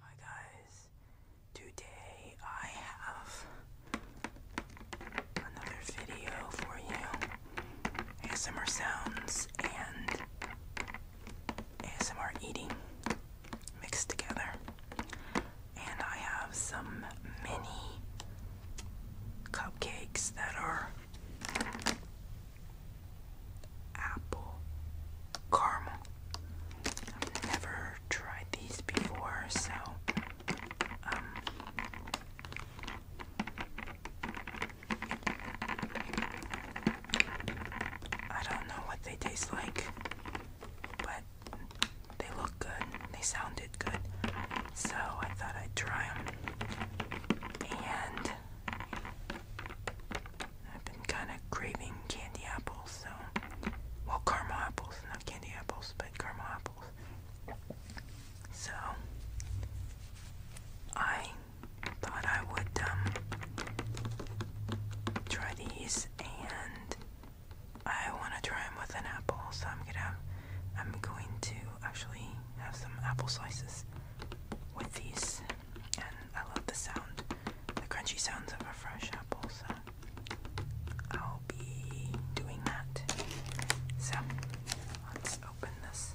Hi guys, today I have another video for you. ASMR sounds and ASMR eating mixed together. And I have some mini cupcakes that are apple caramel I've never tried these before, so um, I don't know what they taste like, but they look good. They sounded good. So I thought I'd try them. And I've been kind of craving candy apples, so well, caramel apples, not candy apples, but caramel apples. So I thought I would um, try these, and I want to try them with an apple. So I'm gonna, I'm going to actually have some apple slices with these and I love the sound, the crunchy sounds of a fresh apple, so I'll be doing that. So, let's open this.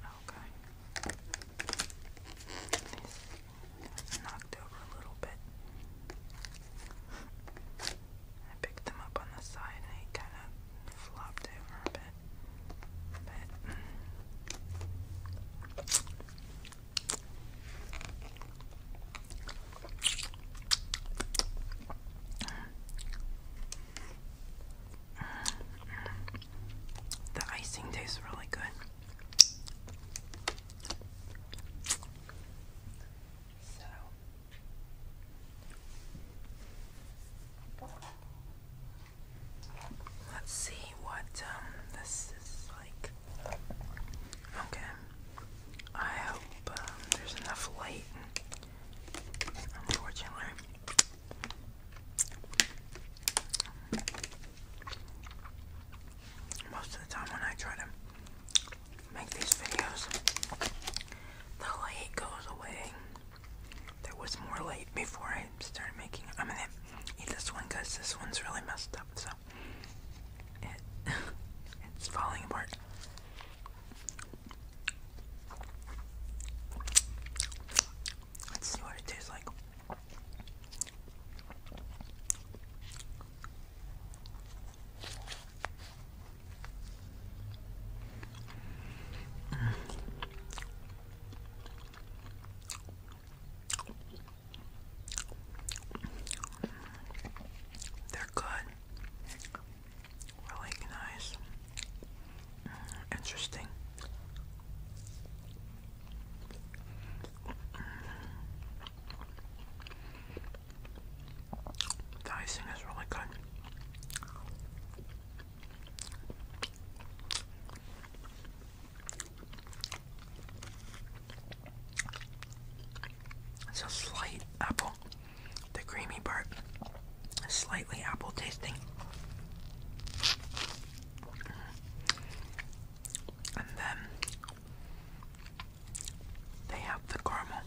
Okay. These knocked over a little bit. I picked them up on the side they kind of flopped over a bit. But mm. The icing tastes really good. So let's see what um, this is like. Okay. I hope um, there's enough light Unfortunately, most of the time when I try to make these videos, the light goes away. There was more light before I started making I'm gonna eat this one because this one's really messed up, so it's falling apart. Let's see what it tastes like. Mm. They're good really nice, mm, interesting. Mm. The icing is really good. It's a slight apple. The creamy part is slightly apple tasting. And then they have the caramel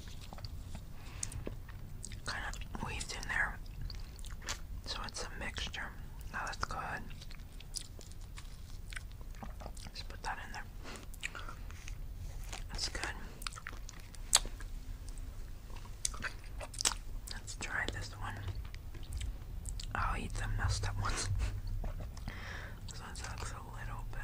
kind of weaved in there. So it's a mixture. Now let Just put that in there. That's good. Let's try this one. I'll eat the messed up ones. this one sucks a little bit.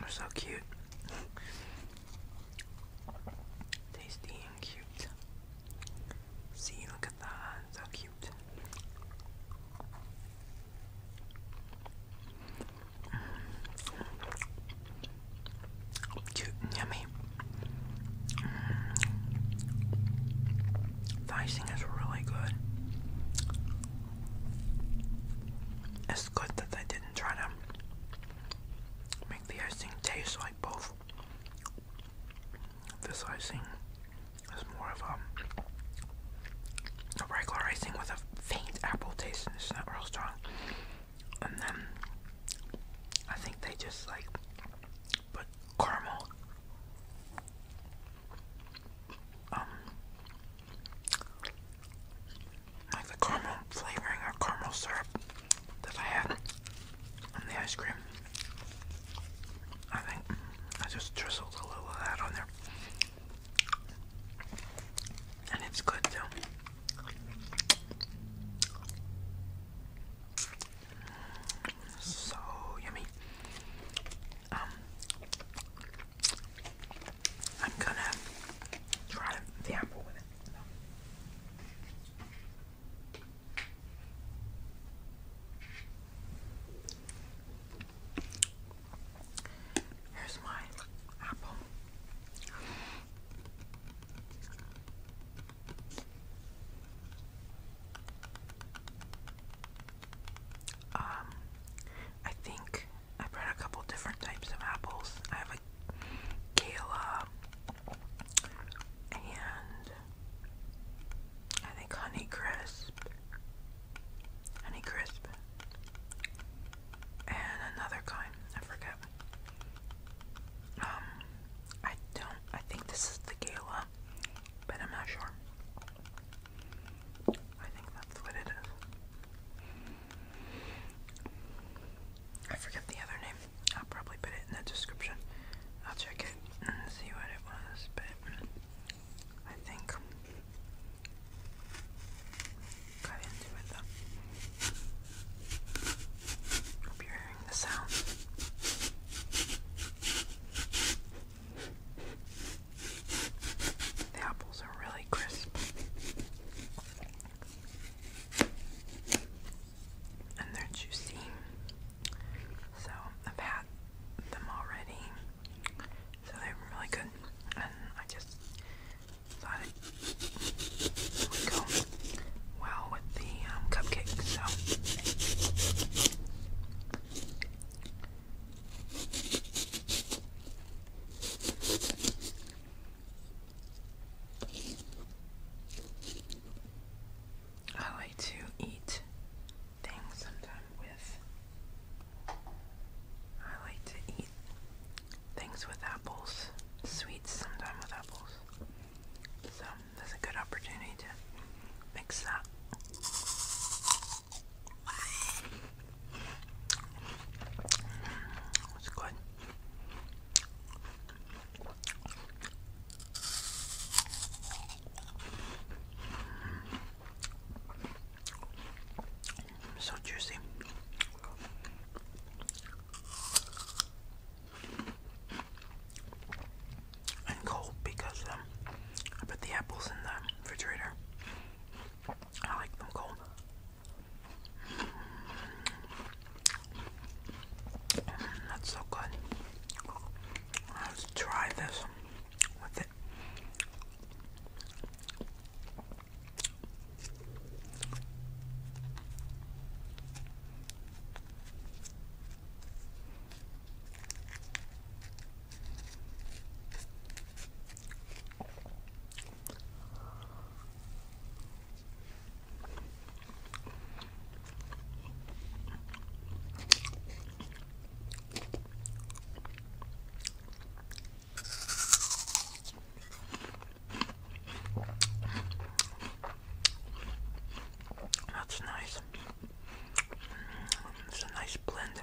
They're so cute. Tasty and cute. See, look at that. So cute yummy. Mm. The icing is really good. It's good that they didn't try to make the icing taste like both this icing it's more of um, a, regular icing with a faint apple taste, it's not real strong. And then I think they just like put caramel um like the caramel flavoring or caramel syrup that I had on the ice cream I think I just drizzled a little of that on there. And it's good too. So yummy. Um, I'm gonna try the apple with it. Here's my apple. Um, I think I brought a couple different types of apples. I have a Kayla uh, and I think Honey Crisp. Honey Crisp. And another kind. I forget. Um, I don't. I think this is the Gala, but I'm not sure. I think that's what it is. I forget the other name. I'll probably put it in the description. I'll check it see what it was, but I think got into Hope you're hearing the sound. The apples are really crisp. And they're juicy. So I've had them already. So they were really good. And I just thought it would go well with the um, cupcake. So I like to eat things sometimes with. I like to eat things with apples, sweets sometimes with apples. So that's a good opportunity to mix that. It's mm, good. So juicy. And cold because um, I put the apples in the refrigerator. I like them cold. That's so good. Let's try this with it. That's nice. It's a nice blend.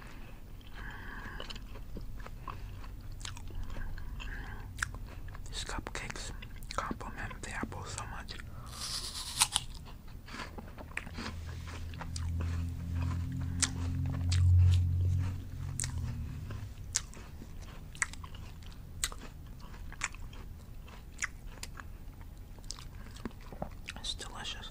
These cupcakes complement the apple so much. It's delicious.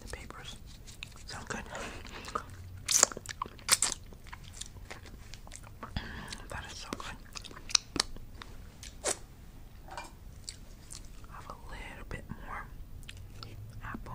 The papers sound good. that is so good. Have a little bit more apple.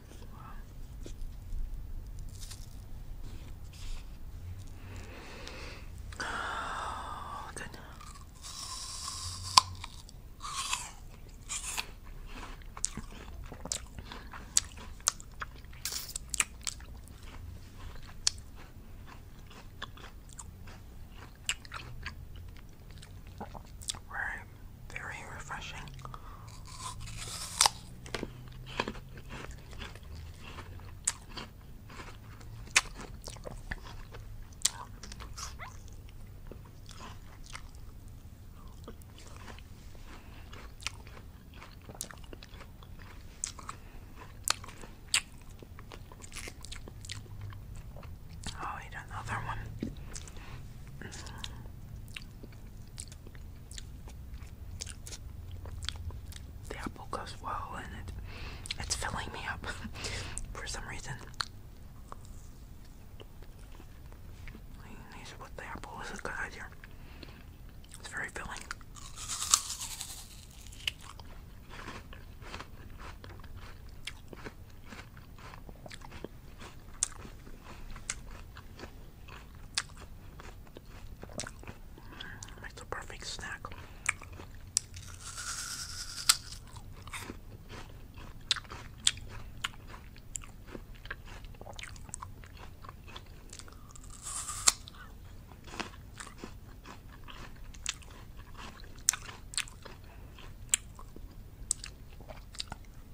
Wow. Oh, Right very refreshing. i oh, eat another one. The apple goes well and it it's filling me up for some reason. These with the apple is a good idea. It's very filling. Makes a perfect snack.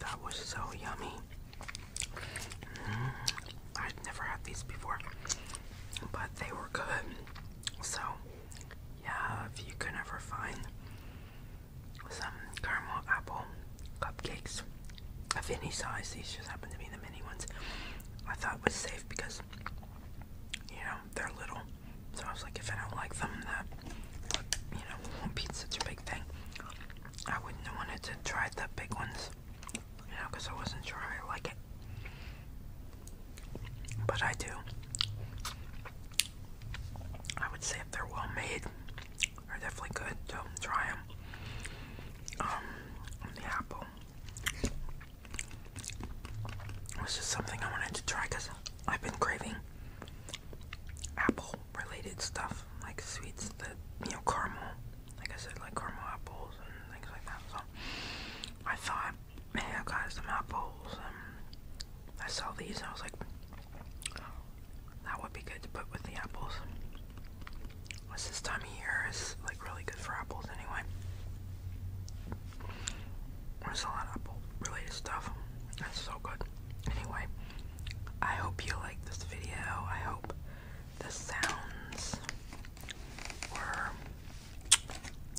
That was so yummy. Mm, I've never had these before, but they were good. So, yeah, if you can ever find some caramel apple cupcakes of any size, these just happen to be the mini ones. I thought was safe because you know they're little. So I was like, if I don't like them, that you know, pizza's a big thing. I wouldn't have wanted to try the big ones, you know, because I wasn't sure I like it. But I do. I would say if they're well made, they're definitely good. do try them. Um, the apple this is something I wanted to try because I've been craving apple related stuff, like sweets that, you know, caramel. Like I said, like caramel apples and things like that. So I thought, hey, I got some apples. And um, I saw these and I was like, that would be good to put with the apples. What's this time of year is like really good for apples anyway. There's a lot of apple related stuff. That's so good. Anyway, I hope you liked this video. I hope the sounds were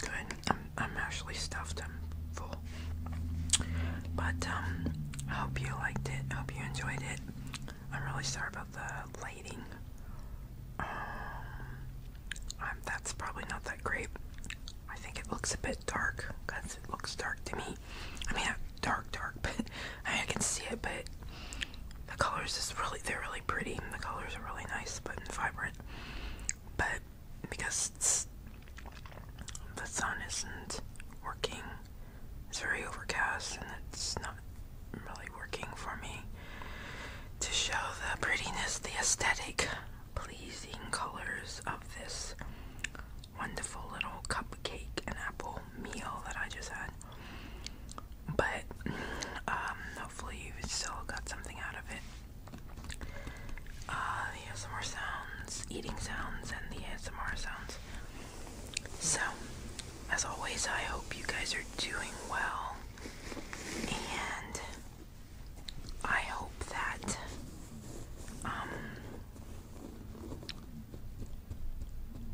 good. I'm, I'm actually stuffed. I'm full. But um, I hope you liked it. I hope you enjoyed it. I'm really sorry about the lighting. Um, that's probably not that great. I think it looks a bit dark because it looks dark to me. I mean, dark, dark, but I, I can see it. But the colors is really they're really pretty. The colors are really nice, but vibrant. But because the sun isn't working, it's very overcast and it's not really working for me to show the prettiness, the aesthetic, pleasing colors of this wonderful little cupcake and apple meal that I just had. But um, hopefully, you still got something out of it. Uh, the ASMR sounds, eating sounds, and the ASMR sounds. So, as always, I hope you guys are doing well and I hope that um,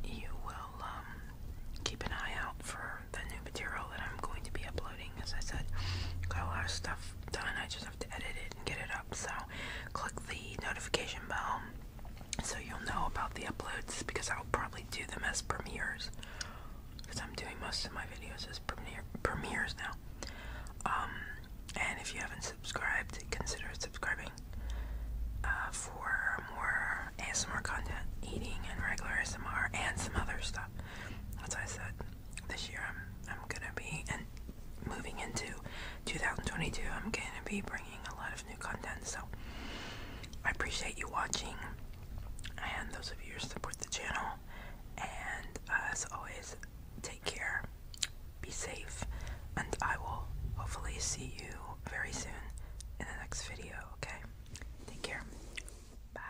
you will um, keep an eye out for the new material that I'm going to be uploading. As I said, got a lot of stuff done. I just have to edit it and get it up. So click the notification bell so you'll know about the uploads because I'll probably do them as premieres because I'm doing most of my videos as premieres now. Um, and if you haven't subscribed, consider subscribing uh, for more ASMR content, eating and regular ASMR, and some other stuff. That's what I said, this year I'm I'm gonna be and moving into 2022, I'm gonna be bringing a lot of new content. So I appreciate you watching and those of you who support the channel. And uh, as always, take care, be safe, and I will hopefully see you very soon in the next video, okay? Take care. Bye.